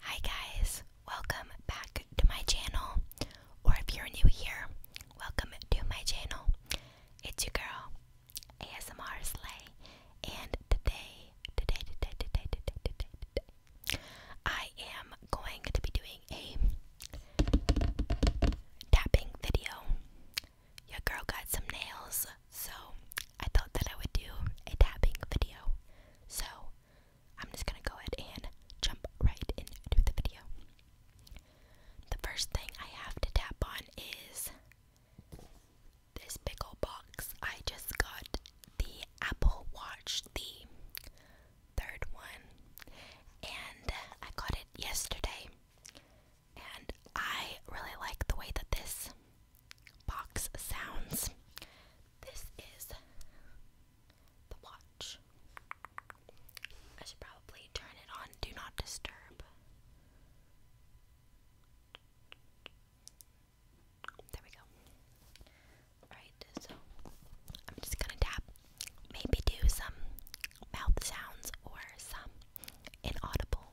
Hi guys, welcome back to my channel. Or if you're new here, welcome to my channel. It's your girl, ASMR Slay, and today, today, today, today, today, today, today, I am going to be doing a tapping video. Your girl got some nails so I thought that I would do a tapping video. So I'm just gonna go ahead and jump right into the video. The first thing I have to tap on is this big old box. I just got the Apple Watch, the third one, and I got it yesterday. And I really like the way that this box sounds. This is the watch. I should probably turn it on. Do not disturb. There we go. Alright, so I'm just gonna tap. Maybe do some mouth sounds or some inaudible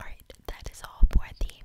Alright, that is all for the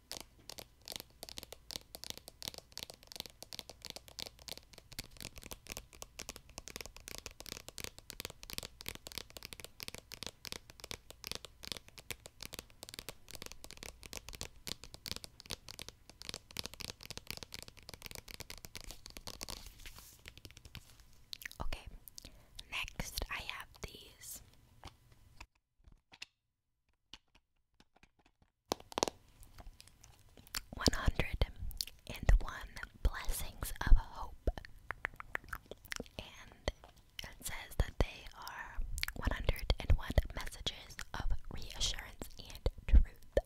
Okay, next I have these. 101 Blessings of Hope. And it says that they are 101 messages of reassurance and truth.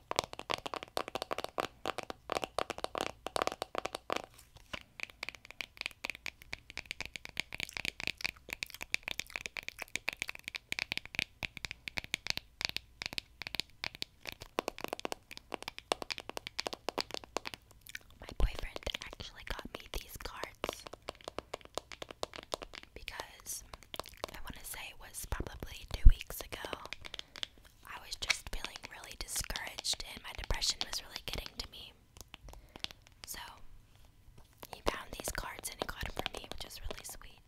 My boyfriend actually got me these cards because I want to say it was probably two weeks ago. I was just feeling really discouraged, and my depression was really getting to me. So, he found these cards and he got them for me, which is really sweet.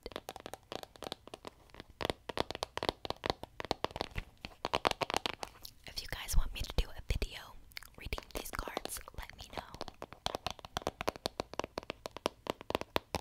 If you guys want me to do a video reading these cards, let me know.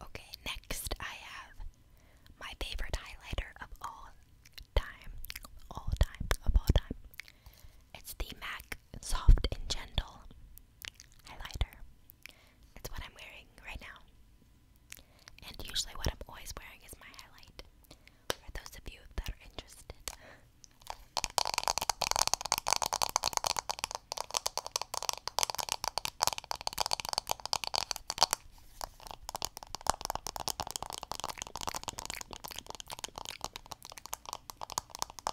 Okay, next I have my favorite highlighter of all time, all time, of all time. It's the MAC soft and gentle highlighter. It's what I'm wearing right now. And usually, what I'm always wearing is my highlight. For those of you that are interested.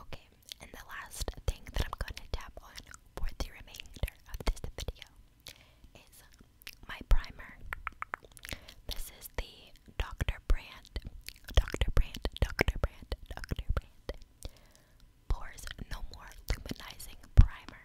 Okay, and the last thing that I'm going to tap on for the remainder of this video is my primer. This is the Dr. Brand, Dr. Brand, Dr. Brand, Dr. Brand Pores No More Luminizing Primer.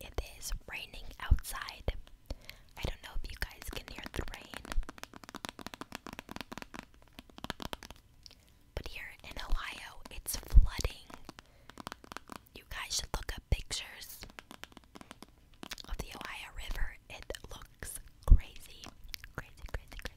It is raining outside. I don't know if you guys can hear the rain. But here in Ohio, it's flooding. You guys should look up pictures of the Ohio River. It looks crazy, crazy, crazy, crazy.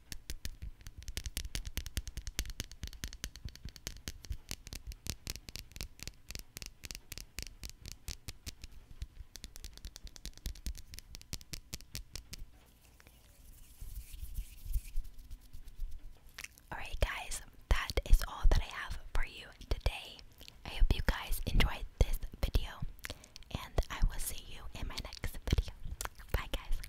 Alright, guys, that is all that I have for you today. I hope you guys enjoyed this video, and I will see you in my next video. Bye, guys.